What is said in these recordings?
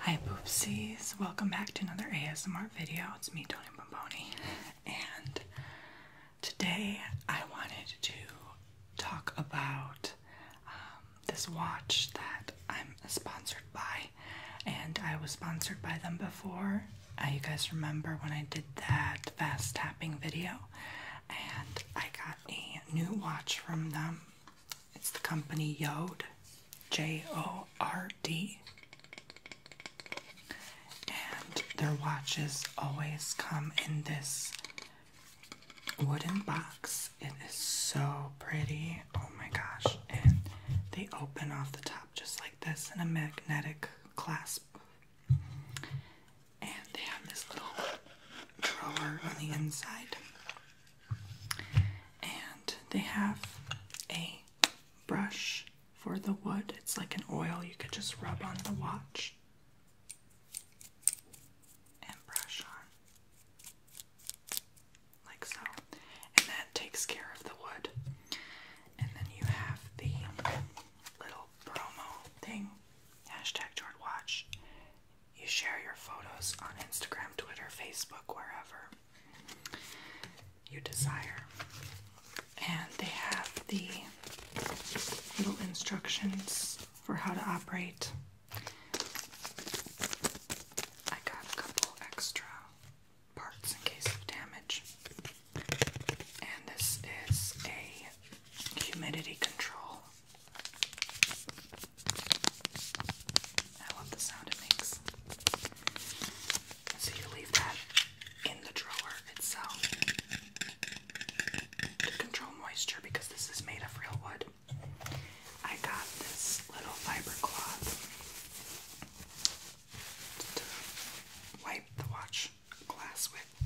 Hi boopsies, welcome back to another ASMR video. It's me, Tony Pomponi, and today I wanted to talk about um, this watch that I'm sponsored by, and I was sponsored by them before. Uh, you guys remember when I did that fast tapping video, and I got a new watch from them. It's the company Yod, J O R D. And their watches always come in this wooden box. It is so pretty. Oh my gosh. And they open off the top just like this in a magnetic clasp. And they have this little drawer on the inside. And they have a brush for the wood. It's like an oil you could just rub on the watch and brush on, like so. And that takes care of the wood. And then you have the little promo thing hashtag Jord Watch. You share your photos on Instagram, Twitter, Facebook, wherever you desire. And they have the little instructions for how to operate. I got a couple extra parts in case of damage. And this is a humidity control I love the sound it makes. So you leave that in the drawer itself to control moisture because this is made of real wood. I got this little fiber cloth to wipe the watch glass with,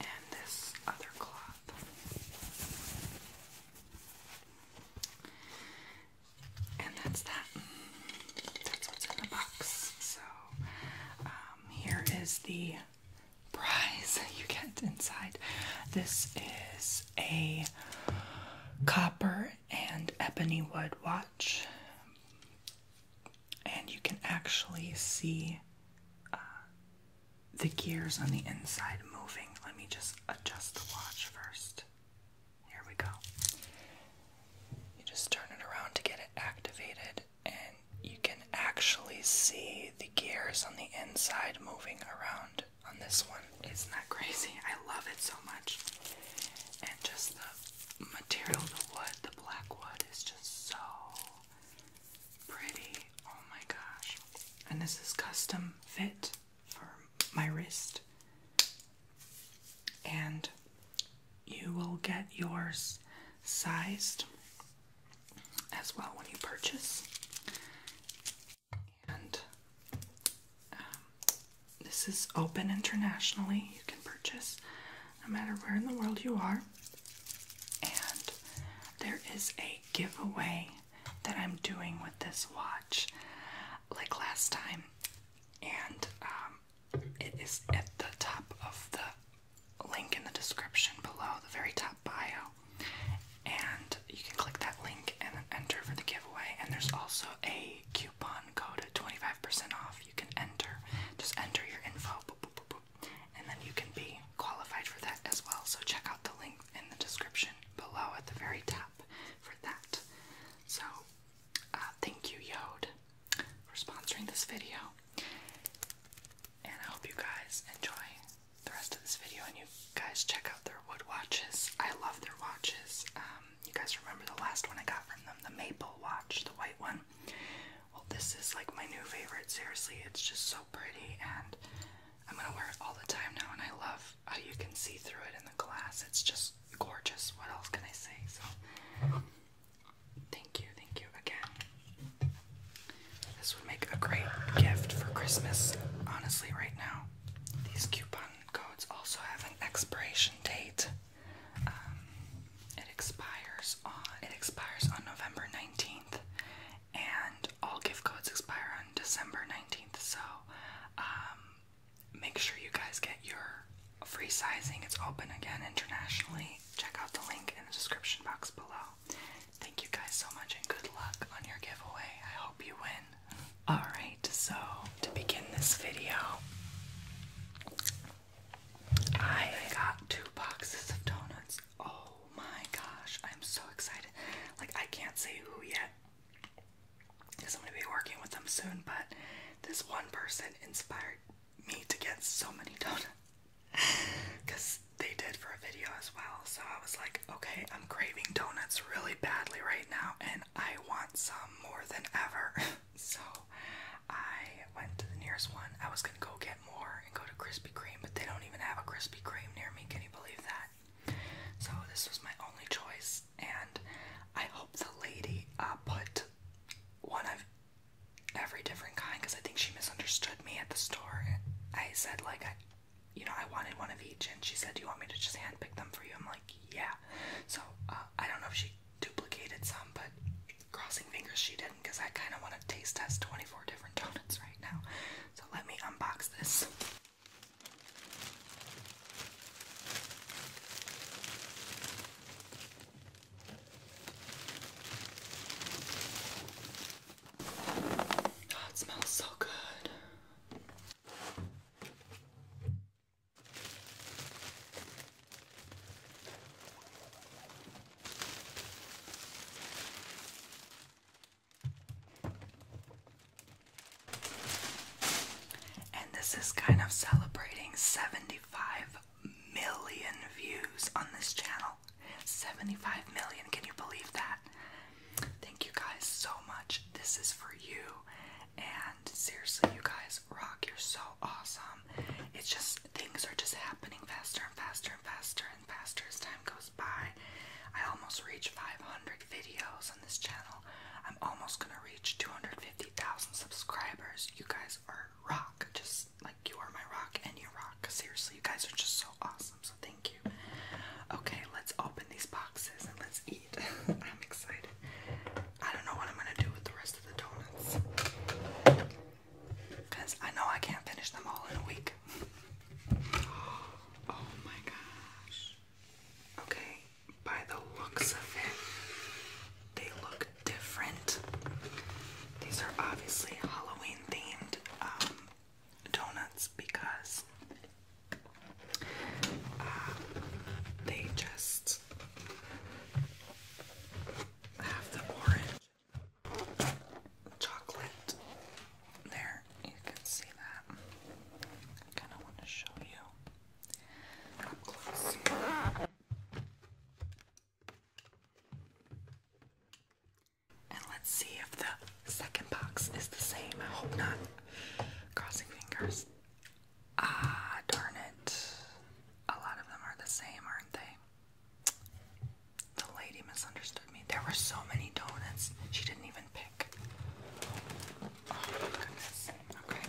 and this other cloth. And that's that. That's what's in the box. So um, here is the prize you get inside. This is a copper and ebony wood watch, and you can actually see uh, the gears on the inside moving. Let me just adjust the watch first. Here we go. You just turn it around to get it activated, and you can actually see the gears on the inside moving around on this one. Isn't that crazy? I love it so much. And just the material, the wood, the black wood is just so pretty. Oh my gosh. And this is custom fit for my wrist, and you will get yours sized as well when you purchase. And um, this is open internationally, you can purchase no matter where in the world you are. And there is a giveaway that I'm doing with this watch, like last time, and um, it is at the top of the link in the description below, the very top bio. And you can click that link and then enter for the giveaway. And there's also a coupon code 25% off. You can enter, just enter your info, and then you can be qualified for that as well. So check out the link in the description below at the very top for that. So, uh, thank you, Yode for sponsoring this video. And I hope you guys enjoy the rest of this video and you guys check out their wood watches. I love their watches. Um, you guys remember the last one I got from them, the maple watch, the white one. Well, this is like my new favorite. Seriously, it's just so pretty and I'm gonna wear it all the time now and I love Oh, you can see through it in the glass. It's just gorgeous. What else can I say? So, thank you, thank you again. This would make a great gift for Christmas, honestly, right now. These coupon codes also have an expiration date. Um, it expires on it expires on November 19th and all gift codes expire on December 19th, so um, make sure you guys get your free sizing. It's open again internationally. Check out the link in the description box below. Thank you guys so much and good luck on your giveaway. I hope you win. Alright, so to begin this video, I got two boxes of donuts. Oh my gosh, I'm so excited. Like, I can't say who yet because I'm going to be working with them soon. But this one person inspired me to get so many donuts because they did for a video as well. So I was like, okay, I'm craving donuts really badly right now, and I want some more than ever. so I went to the nearest one. I was going to go get more and go to Krispy Kreme, but they don't even have a Krispy Kreme near me. Can you believe that? So this was my only choice, and I hope the lady uh, put one of every different kind because I think she misunderstood me at the store. I said like I, you know, I wanted one of each, and she said, "Do you want me to just handpick them for you?" I'm like, "Yeah." So uh, I don't know if she duplicated some, but crossing fingers she didn't because I kind of want to taste test 24 different donuts right now. So let me unbox this. Oh, it smells so good. And this is kind of celebrating 75 million views on this channel. 75 million, can you believe that? Thank you guys so much. This is for you. And seriously, you guys rock. You're so awesome. It's just things are just happening faster and faster and faster and faster as time goes by. I almost reach 500 videos this channel. I'm almost gonna reach 250,000 subscribers. You guys are rock. Just like you are my rock and you rock. Seriously, you guys are just so awesome. So thank you. Okay, let's open these boxes and let's eat. I'm excited. I don't know what I'm gonna do with the rest of the donuts. Because I know I can't finish them all in a week. oh my gosh. Okay, by the looks of it, they look different. These are obviously Halloween themed um, donuts because uh, they just have the orange chocolate there, you can see that. I kind of want to show you up close. And let's see if the second box is the same. I hope not. Crossing fingers. Ah, darn it. A lot of them are the same, aren't they? The lady misunderstood me. There were so many donuts, she didn't even pick. Oh, okay.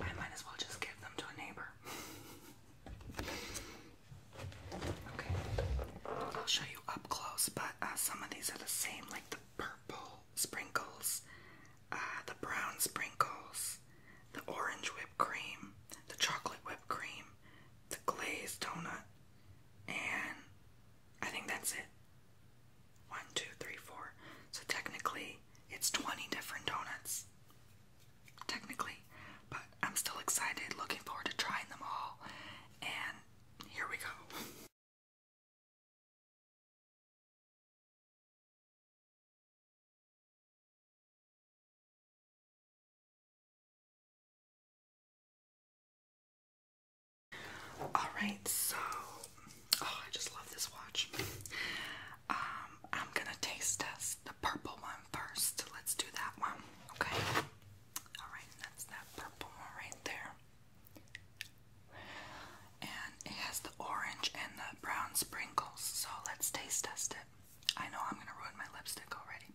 I might as well just give them to a neighbor. okay. I'll show you up close, but uh, some of these are the same, like the purple sprinkles, uh, the brown sprinkles, the orange whipped cream, the chocolate whipped cream, the glazed donut, and I think that's it. One, two, three, four. So technically, it's 20 different donuts. Technically. But I'm still excited, looking forward to trying them all. And here we go. Alright, so oh I just love this watch. Um, I'm gonna taste test the purple one first. Let's do that one. Okay. Alright, that's that purple one right there. And it has the orange and the brown sprinkles, so let's taste test it. I know I'm gonna ruin my lipstick already.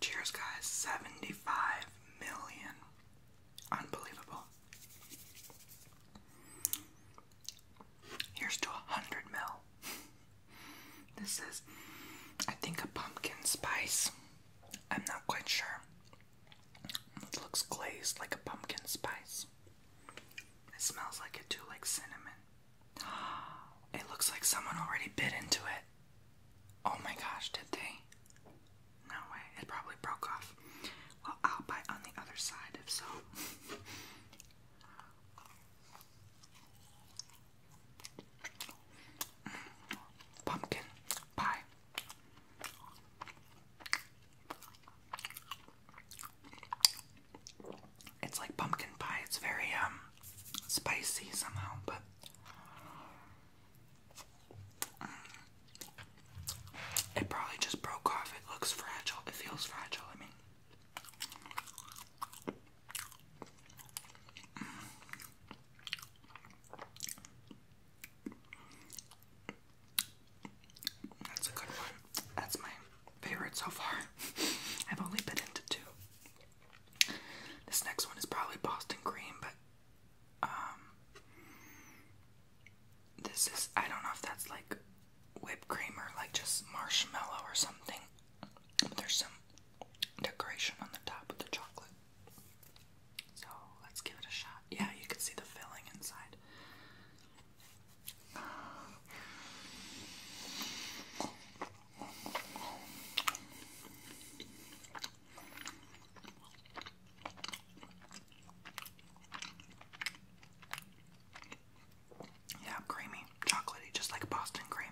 Cheers, guys. 75 million. Unbelievable. Here's to 100 mil. This is, I think, a pumpkin spice. I'm not quite sure. It looks glazed like a pumpkin spice. It smells like it too, like cinnamon. It looks like someone already bit into it. Oh my gosh, did they? No way, it probably broke off. Well, I'll bite on the other side if so. Pumpkin pie. It's like pumpkin pie. It's very um spicy somehow, but mm, it probably just broke off. It looks fragile. It feels fragile. I mean. Mm. That's a good one. That's my favorite so far. I've only been into two. This next one is probably Boston cream, but um, this is I don't know if that's like whipped cream or like just marshmallow or something. But there's some decoration on the top of the chocolate. So let's give it a shot. Yeah, you can see the filling inside. Yeah, creamy, chocolatey, just like Boston cream.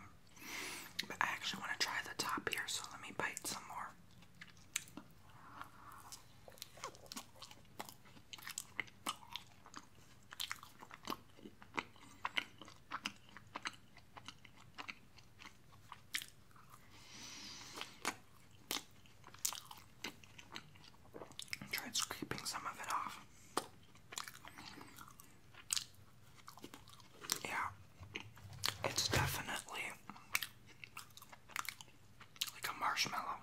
But I actually want to try the top here, so let me bite some more. I scraping some of it off. Yeah, it's definitely like a marshmallow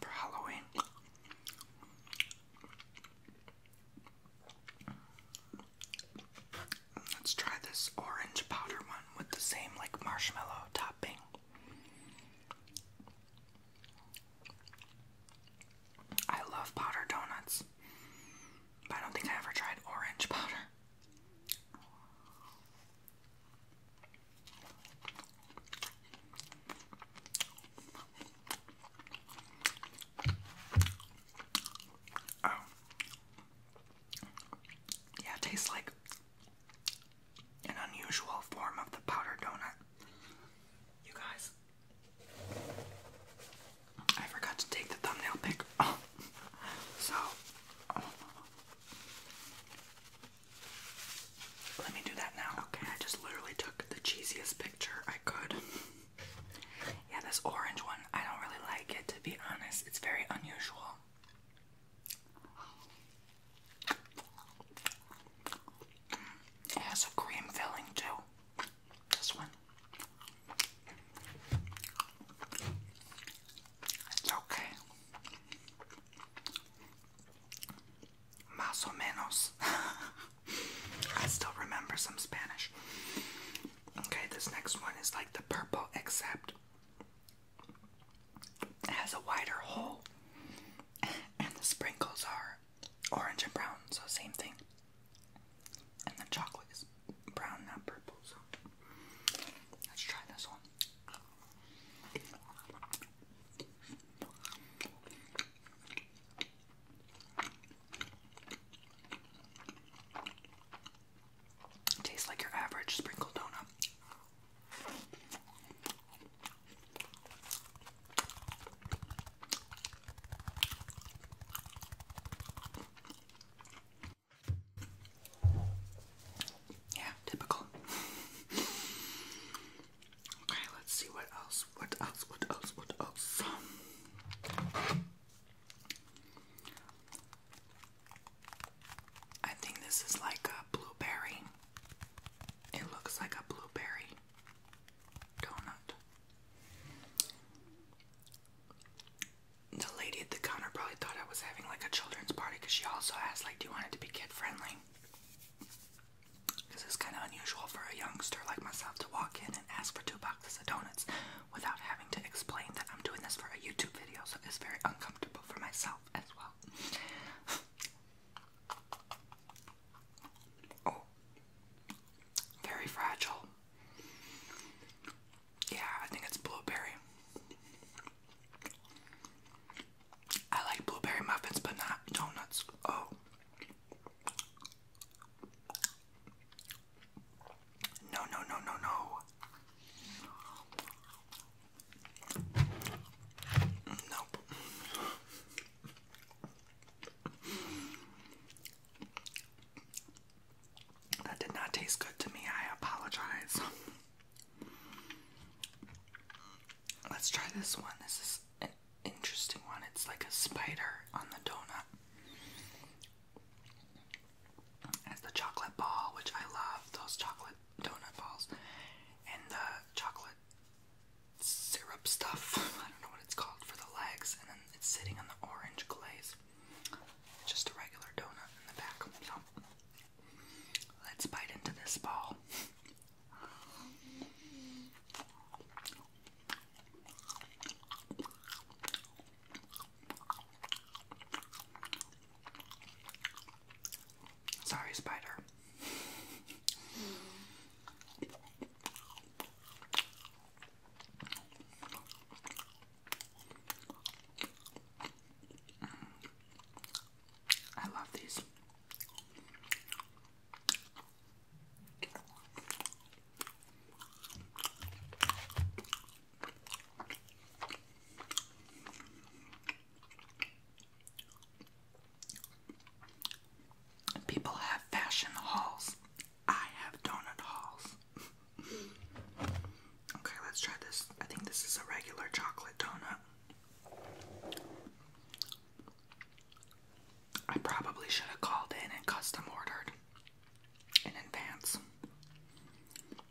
for Halloween. Let's try this orange powder one with the same like marshmallow topping. I love powder donuts, but I don't think I ever tried orange powder. Oh. Yeah, it tastes like an unusual form of the powdered donut. You guys, I forgot to take the thumbnail pic. so, let me do that now. Okay, I just literally took the cheesiest picture I could. yeah, this orange one, I don't really like it to be honest. It's very unusual. It has a cream filling too. This one. It's okay. Más o menos. I still remember some Spanish. Okay, this next one is like the purple, except it has a wider hole, and the sprinkles are orange and brown, so same thing. And the chocolate is brown, not purple, so let's try this one. Tastes like your average sprinkle donut. Yeah, typical. Okay, let's see what else, what else, what else, what else. I think this is like a blueberry. It looks like a blueberry donut. The lady at the counter probably thought I was having like a children's party because she also asked, like, do you want it to be kid friendly? This is kind of unusual for a youngster like myself to walk in and ask for two boxes of donuts without having to explain that I'm doing this for a YouTube video, so it's very uncomfortable for myself as well. oh, very fragile. Yeah, I think it's blueberry. I like blueberry muffins, but not donuts. Oh. No, no, no, no, no. Nope. That did not taste good to me. I apologize. Let's try this one. This is interesting one. It's like a spider on the donut. It's the chocolate ball, which I love those chocolate donut balls, and the chocolate syrup stuff. I don't know what it's called for the legs, and then it's sitting on the orange glaze. It's just a regular donut in the back. So let's bite into this ball. Sorry, spider. I love these. People have fashion hauls. I have donut hauls. okay, let's try this. I think this is a regular chocolate donut. I probably should have called in and custom ordered in advance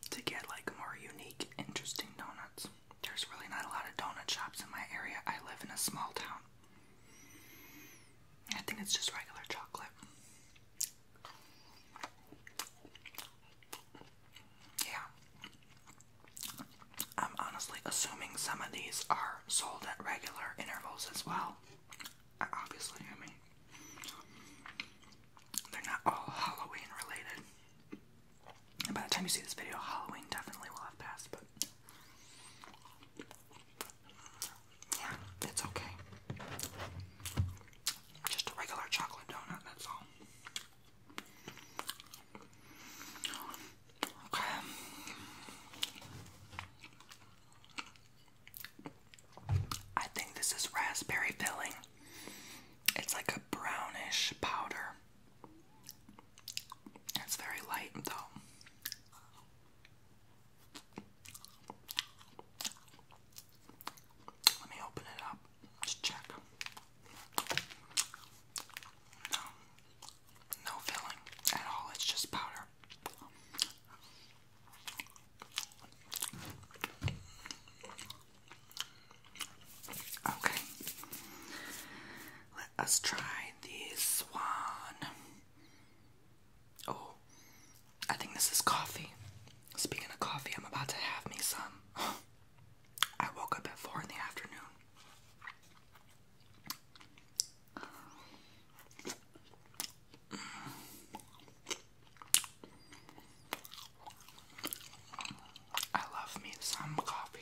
to get like more unique, interesting donuts. There's really not a lot of donut shops in my area. I live in a small town. I think it's just regular chocolate. Yeah. I'm honestly assuming some of these are sold at regular intervals as well. Obviously, I mean, they're not all Halloween related. by the time you see this video, Halloween definitely will have passed, but yeah, it's okay. Just a regular chocolate donut, that's all. I think this is raspberry filling. It's like a brownish powder. It's very light though. Let me open it up. Just check. No filling at all, it's just powder. Okay, let us try this one. Oh, I think this is coffee. Speaking of coffee, I'm about to have me some. I woke up at 4 in the afternoon. I love me some coffee.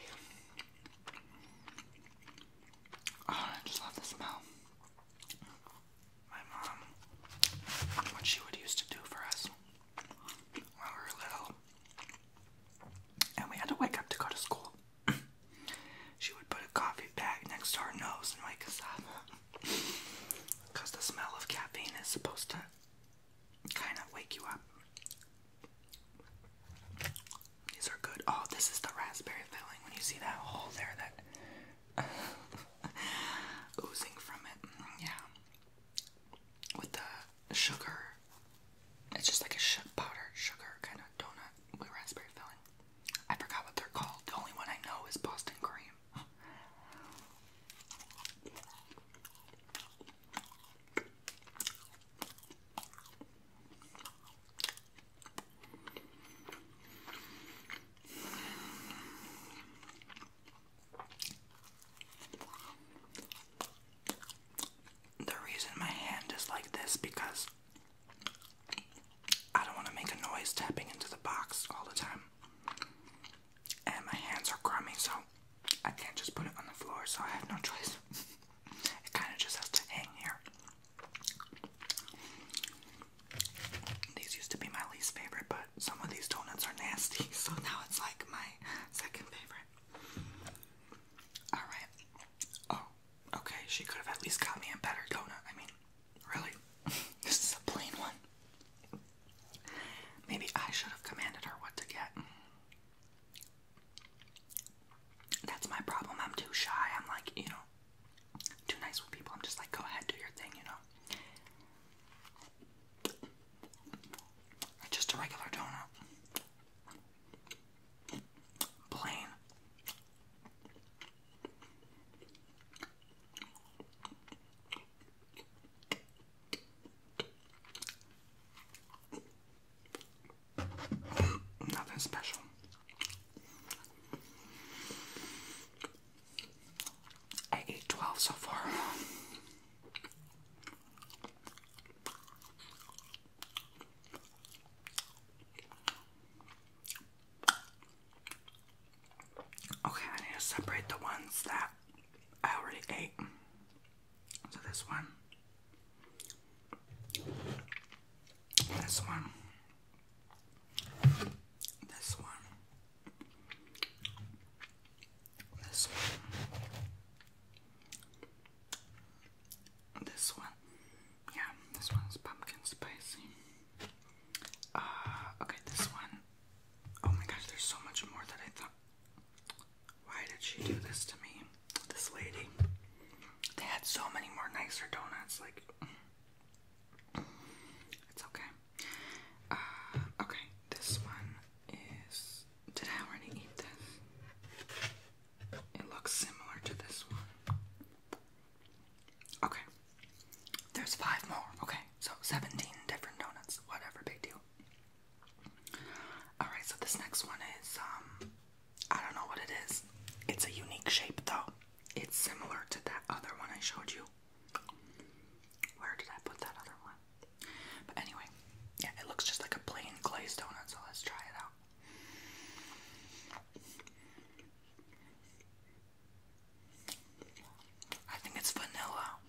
Oh, I just love the smell. My mom, what she would used to do for us when we were little, and we had to wake up to go to school. she would put a coffee bag next to her nose and wake us up. Because the smell of caffeine is supposed to kind of wake you up. These are good. Oh, this is the raspberry filling. When you see that hole there, that oozing from it. Mm, yeah. With the sugar it's just like a sugar powder sugar kind of donut with raspberry filling. I forgot what they're called. The only one I know is Boston cream. The reason my hand is like this because I don't want to make a noise tapping into the box all the time. And my hands are crummy, so I can't just put it on the floor, so I have no choice. it kind of just has to hang here. These used to be my least favorite, but some of these donuts are nasty, so now it's like my second favorite. Alright. Oh, Okay, she could have at least got me a better donut. I mean, really? this is a plain one. Maybe I should have commanded her what to get. That's my problem. I'm too shy. I'm like, you know, too nice with people. I'm just like, go ahead, do your thing, you know. Just a regular donut. Plain. Nothing special. I ate 12 so far. Okay, I need to separate the ones that I already ate. So this one, this one, this one, this one, this one, yeah, this one's pumpkin spicy. Uh, okay, this one. Oh my gosh, there's so much more that I thought. Why did she do this to me? This lady. They had so many more nicer donuts, like. It's okay. Uh, okay, this one is. Did I already eat this? It looks similar to this one. Okay. There's five more. Okay. So 17 different donuts, whatever they do. All right, so this next one is um I don't know what it is. It's a unique shape though. It's similar to that other one I showed you. Where did I put that other one? But anyway, yeah, it looks just like a plain glazed donut, so let's try it out. I think it's vanilla.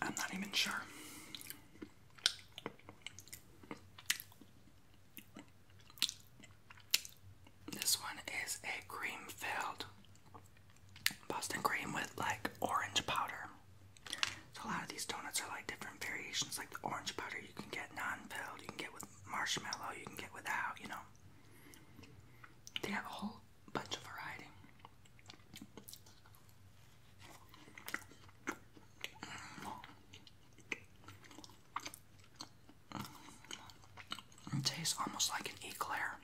I'm not even sure. This one is a cream filled Boston cream with like orange powder. So a lot of these donuts are like different variations, like the orange powder you can get non-filled, you can get with marshmallow, you can get without, you know. They have a whole bunch of variety. It tastes almost like an eclair.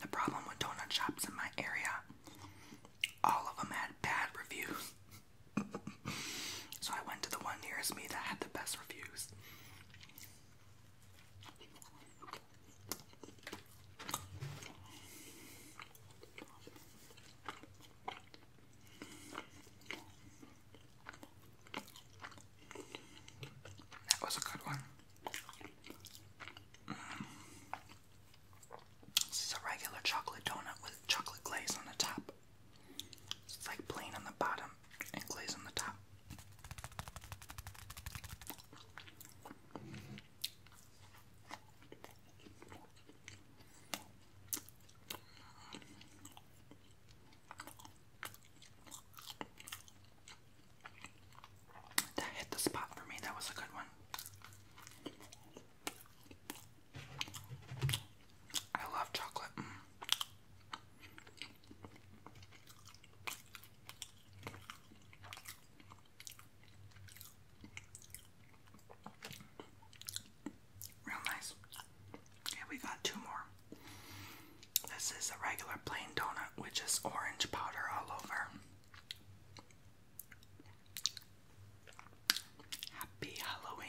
The problem with donut shops in my area, all of them had bad reviews. so I went to the one nearest me that had the best reviews. That was a good one. Mm. This is a regular chocolate donut with chocolate glaze on the top. It's like plain on the bottom and glaze on the top. That hit the spot for me. That was a good one. I love chocolate. Mm. Real nice. Yeah, we got two more. This is a regular plain donut, which is orange powder all over. Happy Halloween.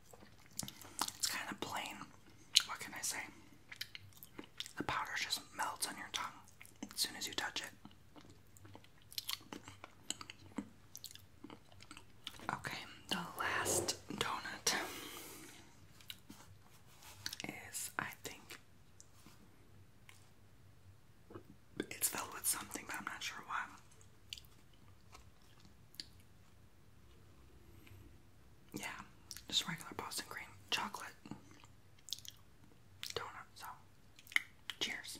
It's kind of plain. What can I say? The powder just melts on your tongue as soon as you touch it. Okay, the last donut is, I think, it's filled with something, but I'm not sure why. Yeah, just regular Boston cream, chocolate, donut. So, cheers.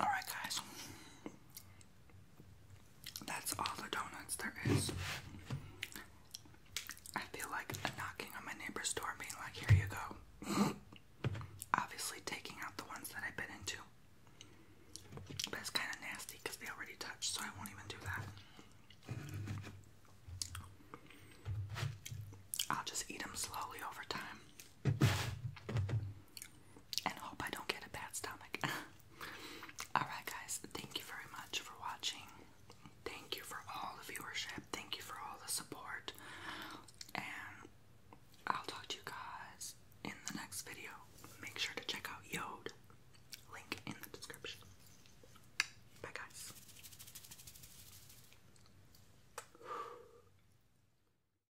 Alright, guys. That's all the donuts there is. I feel like a knocking on my neighbor's door being like, here you go. Obviously, taking out the ones that I have been into. But it's kind of nasty because they already touched, so I won't even do that. I'll just eat them slowly over time and hope I don't get a bad stomach. Alright, guys, thank you very much for watching. Thank you for all the viewership. Thank you for all the support. And I'll talk to you guys in the next video. Make sure to check out Yod. Link in the description. Bye, guys.